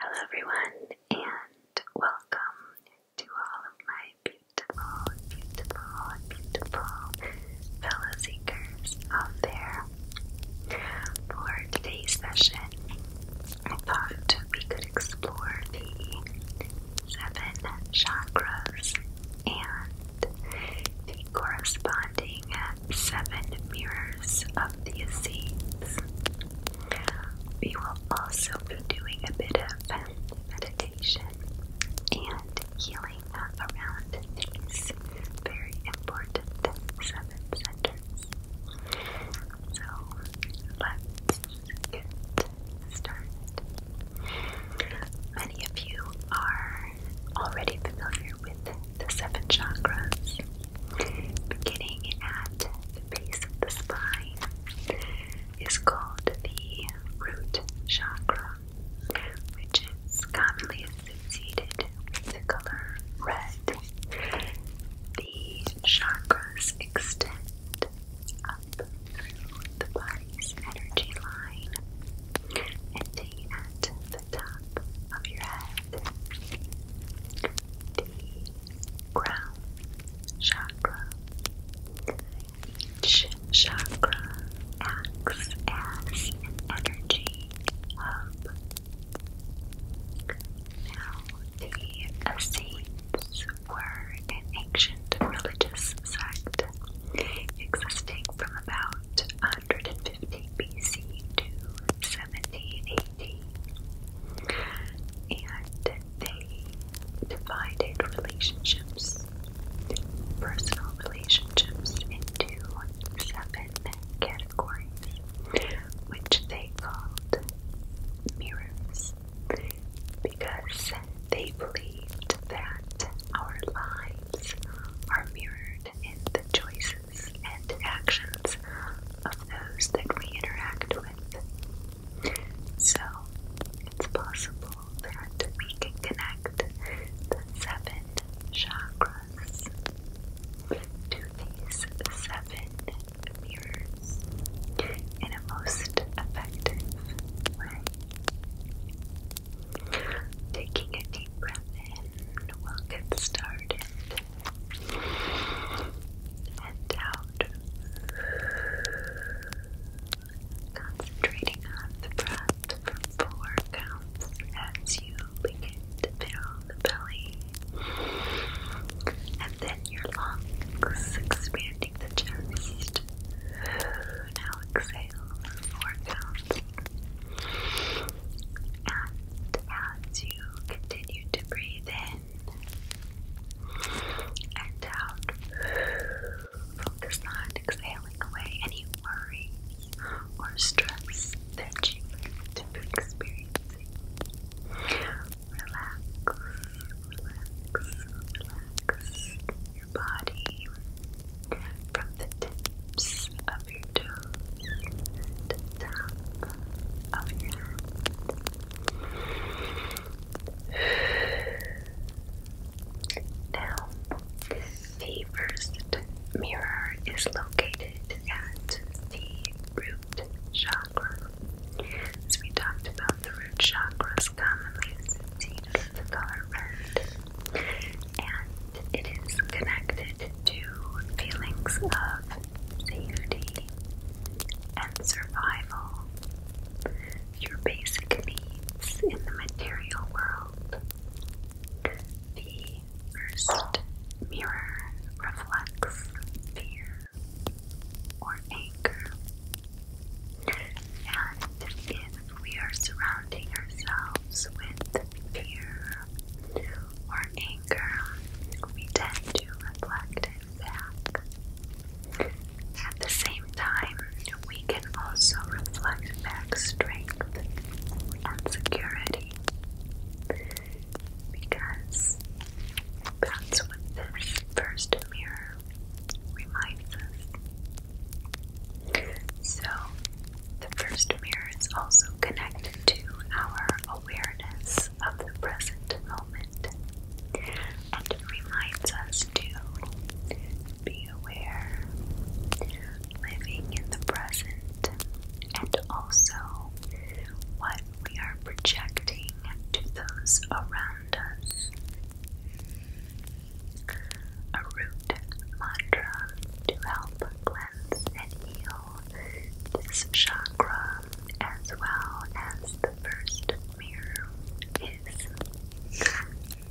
Hello, everyone, and welcome to all of my beautiful, beautiful, beautiful fellow seekers out there. For today's session, I thought we could explore the seven chakras and the corresponding seven mirrors of the seeds. We will also be doing a bit of meditation and healing around these very important seven centers. So let's get started. Many of you are already familiar with the seven chakras, beginning at the base of the spine is called the root chakra, which is commonly associated with the color red. The chakras extend up through the body's energy line and D at the top of your head. the crown chakra. Each chakra acts as an energy hub. the Essenes were an ancient religious sect existing from about 150 BC to 70 AD. And they divided relationships, personal relationships, into seven categories, which they called mirrors because they believed that our lives are mirrored in the choices and actions of those that we interact with. So, it's possible that we can connect the seven chakras to these seven mirrors in a most effective way. Taking a deep breath in, we'll get started. And out. Concentrating on the breath for four counts as you begin to fill the belly. And then your lungs expanding the chest now exhale four counts. And as you continue to breathe in and out, focus on exhaling away any worries or stress that you might be experiencing. Relax, relax, relax your body from the tips of your toes to the top of your head. Now, the first mirror is located at the root chakra. As we talked about, the root chakra is commonly associated with the color red and it is connected to feelings of safety and survival, your basic needs in the material world. The first mirror reflects fear or anger, and in we are surrounding ourselves with fear or anger, we tend to reflect back. At the same time, we can also reflect back strength and security because that's what this first mirror reminds us. So, the first mirror is also connected to our awareness of the present moment. And it reminds us to be aware, living in the present, and also what we are projecting to those around us a root mantra to help cleanse and heal this chakra as well as the first mirror is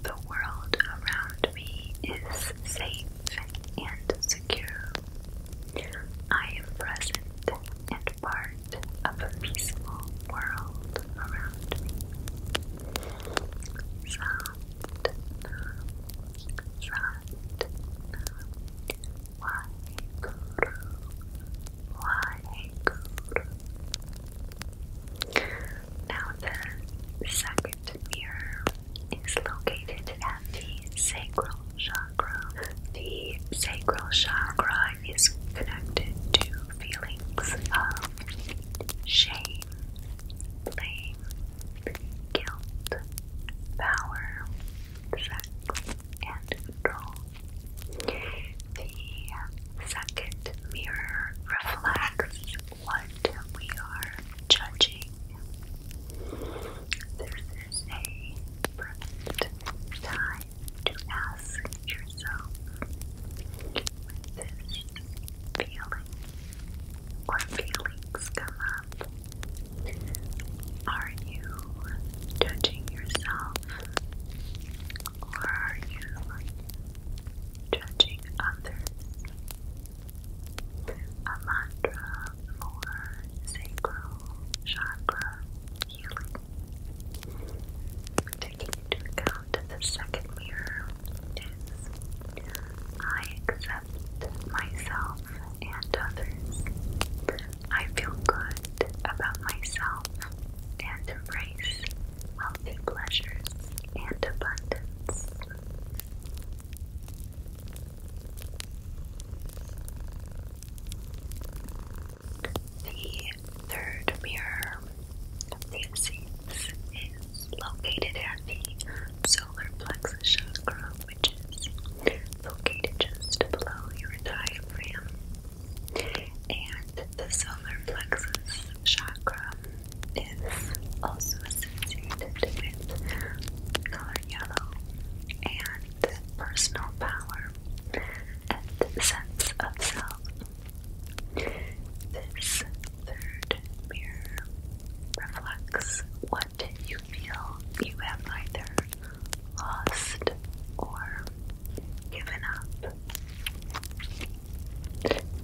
the world around me is safe and secure. I am present and part of a peaceful world around me. Some now the second mirror is located at the sacral chakra. The sacral chakra is connected to feelings of shame, blame, guilt, power, sex, and control. The second mirror reflects what we are judging. This is a perfect time to ask yourself when resist feelings or feelings come up? Are you judging yourself or are you judging others? A mantra for sacral chakra healing. Taking into account the second mirror practice. I accept myself and others. I feel good about myself and embrace healthy pleasures and abundance. The third mirror Theasis is located at the solar plexus chakra, which is located just below your diaphragm. And the solar plexus chakra is also associated with color yellow and personal power and sense of self this third mirror reflects what you feel you have either lost or given up.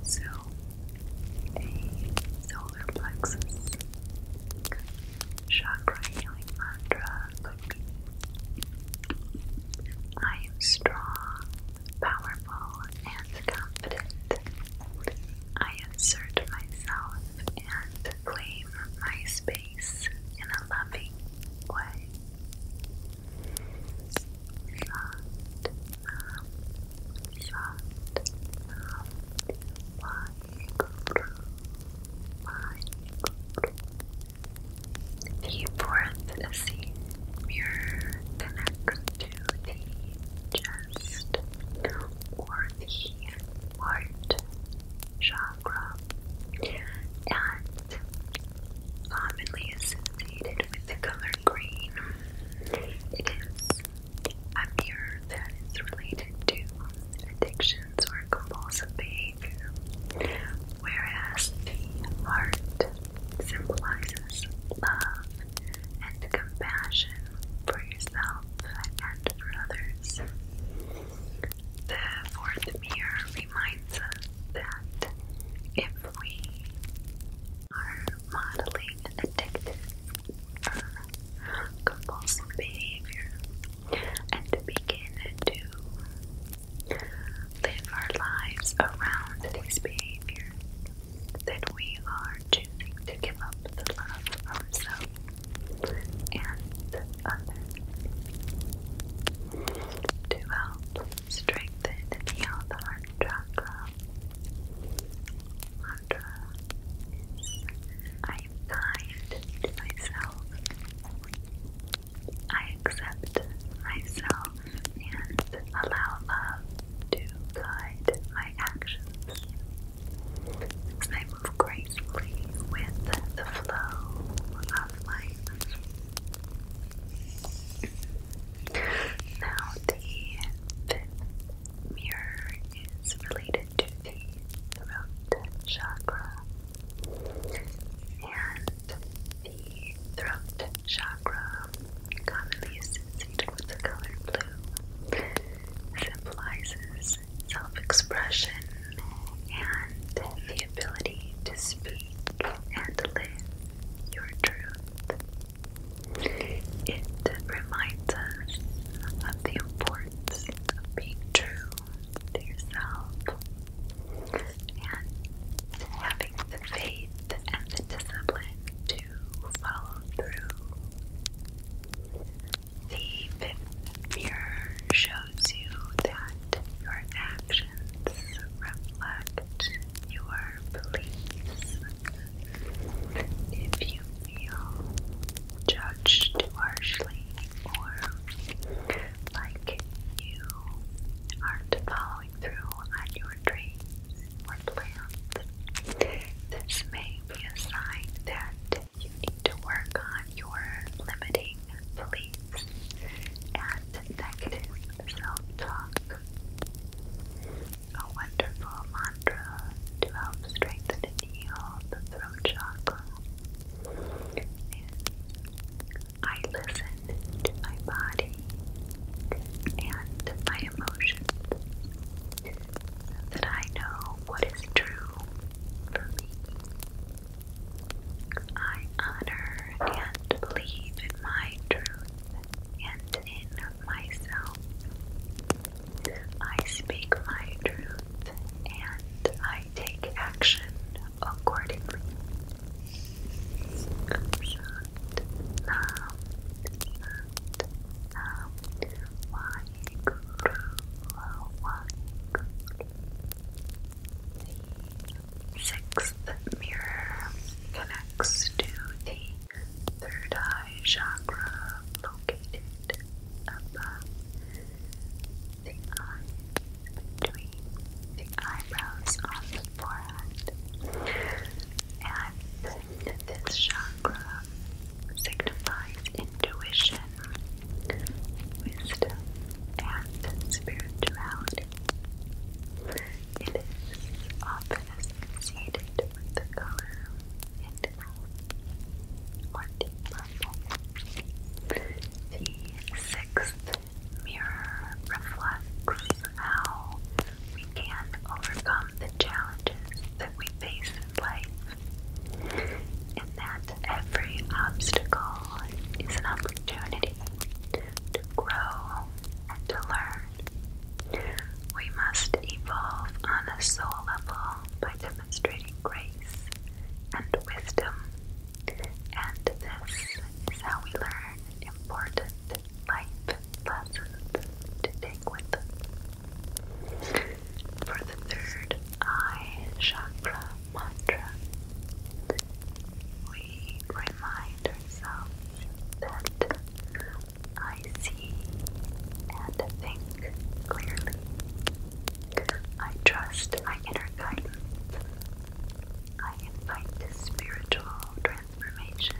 So, a solar plexus chakra mantra could be I am strong powerful, and confident. I assert myself and claim my space in a loving way. Soft, soft, um, like, like. The fourth mirror connects to the just or heart chakra and commonly associated with the color green. It is a mirror that is related to addictions or compulsive behavior, whereas the heart symbolizes love and compassion for yourself and for others. The fourth mirror reminds us that if we are modeling addictive or compulsive behavior and begin to live our lives around these behaviors, that we are choosing to give up the love of ourselves and others to help strengthen the heart chakra. Mantra is I am myself. I accept myself and allow love to guide my actions. As I move gracefully with the flow of life. Now, the fifth mirror is related to the throat chakra. And the throat chakra, commonly associated with the color blue, symbolizes self expression and the ability to speak and live your truth. It reminds us of the importance of being true to yourself and having the faith and the discipline to to follow through. The fifth mirror shows you that your actions reflect your beliefs. If you feel judged harshly or like you aren't following through on your dreams, this may be a sign that you need to work on your limiting beliefs and negative self-talk. A wonderful mantra to help strengthen and heal the throat chakra is I listen to my body and my emotions that I know what is true for me. I honor and believe in my truth and in myself. I speak my truth and I take action accordingly. Shanti Nam the sixth mirror connects to the third eye chakra located above the eye between the eyebrows forehead. And this chakra signifies intuition, wisdom, and spirituality. It is often associated with the color indigo or deep The sixth mirror reflects how we can overcome the challenges that we face in life, and that every obstacle is an opportunity to grow and to learn. We must evolve on a soul level by demonstrating grace and wisdom, and this is how we learn important life lessons to take with them. For the third eye chakra mantra, we remind ourselves that I see and think clearly. I trust my inner guidance. I invite spiritual transformation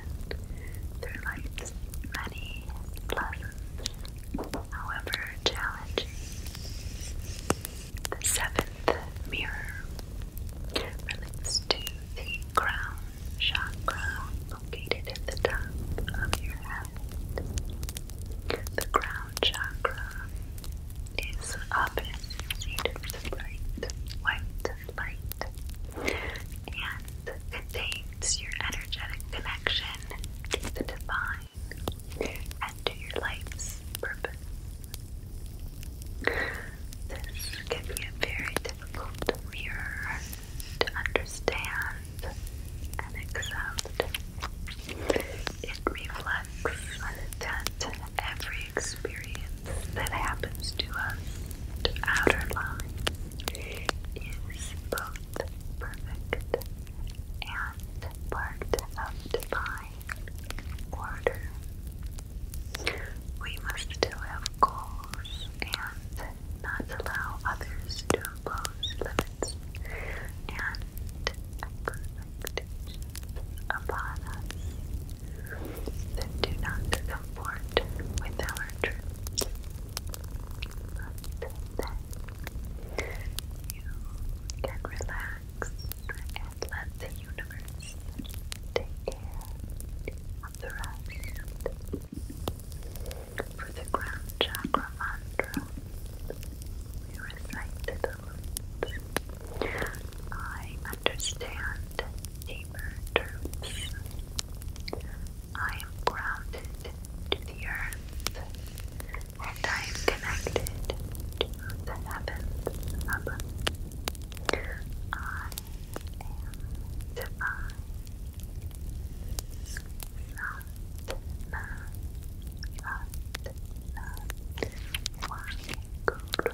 through life's many pleasant, however challenging. The seventh mirror relates to the crown chakra located at the top of your head. The crown chakra is often seen as bright white light and contains your energetic connection to the divine and to your life's purpose. This can be a very difficult mirror to understand and accept. It reflects that every experience that happens to us, outer line, is both perfect and part of divine order. We must have goals and not allow others to impose limits and expectations upon us then do not comport with our troops. But then you can relax and let the universe take care of the rest. For the ground chakra mantra, we recite the words. I understand deeper truths. I am grounded to the earth, and I am connected to the heavens above. I am divine. Not none, but none. One guru.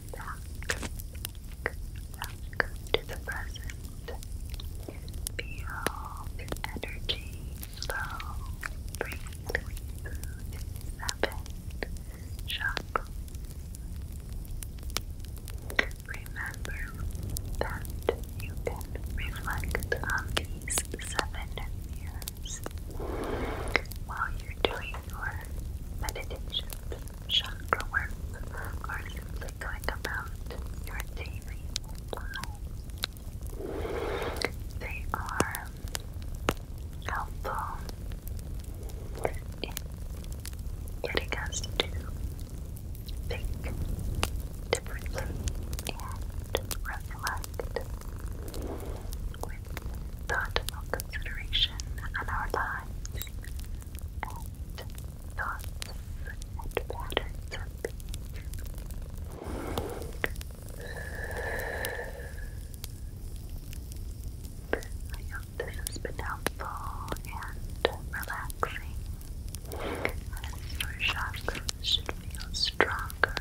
back, back to the present. Feel the energy flow freely through the seven Remember that you can reflect on these seven mirrors while you're doing your meditations chakra work simply going about your daily life. They are helpful in getting us to think differently and reflect with thoughtful consideration on our lives I hope this has been helpful and relaxing. As your chakras should feel stronger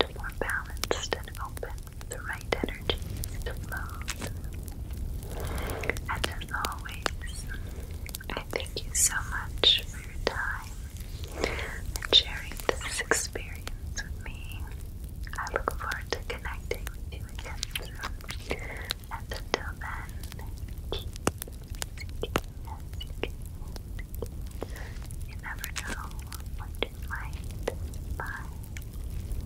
and more balanced and open the right energies to flow. And as always, I thank you so much for your time and sharing this experience with me. I look forward to connecting with you again And until then, keep seeking and You never know what you might find.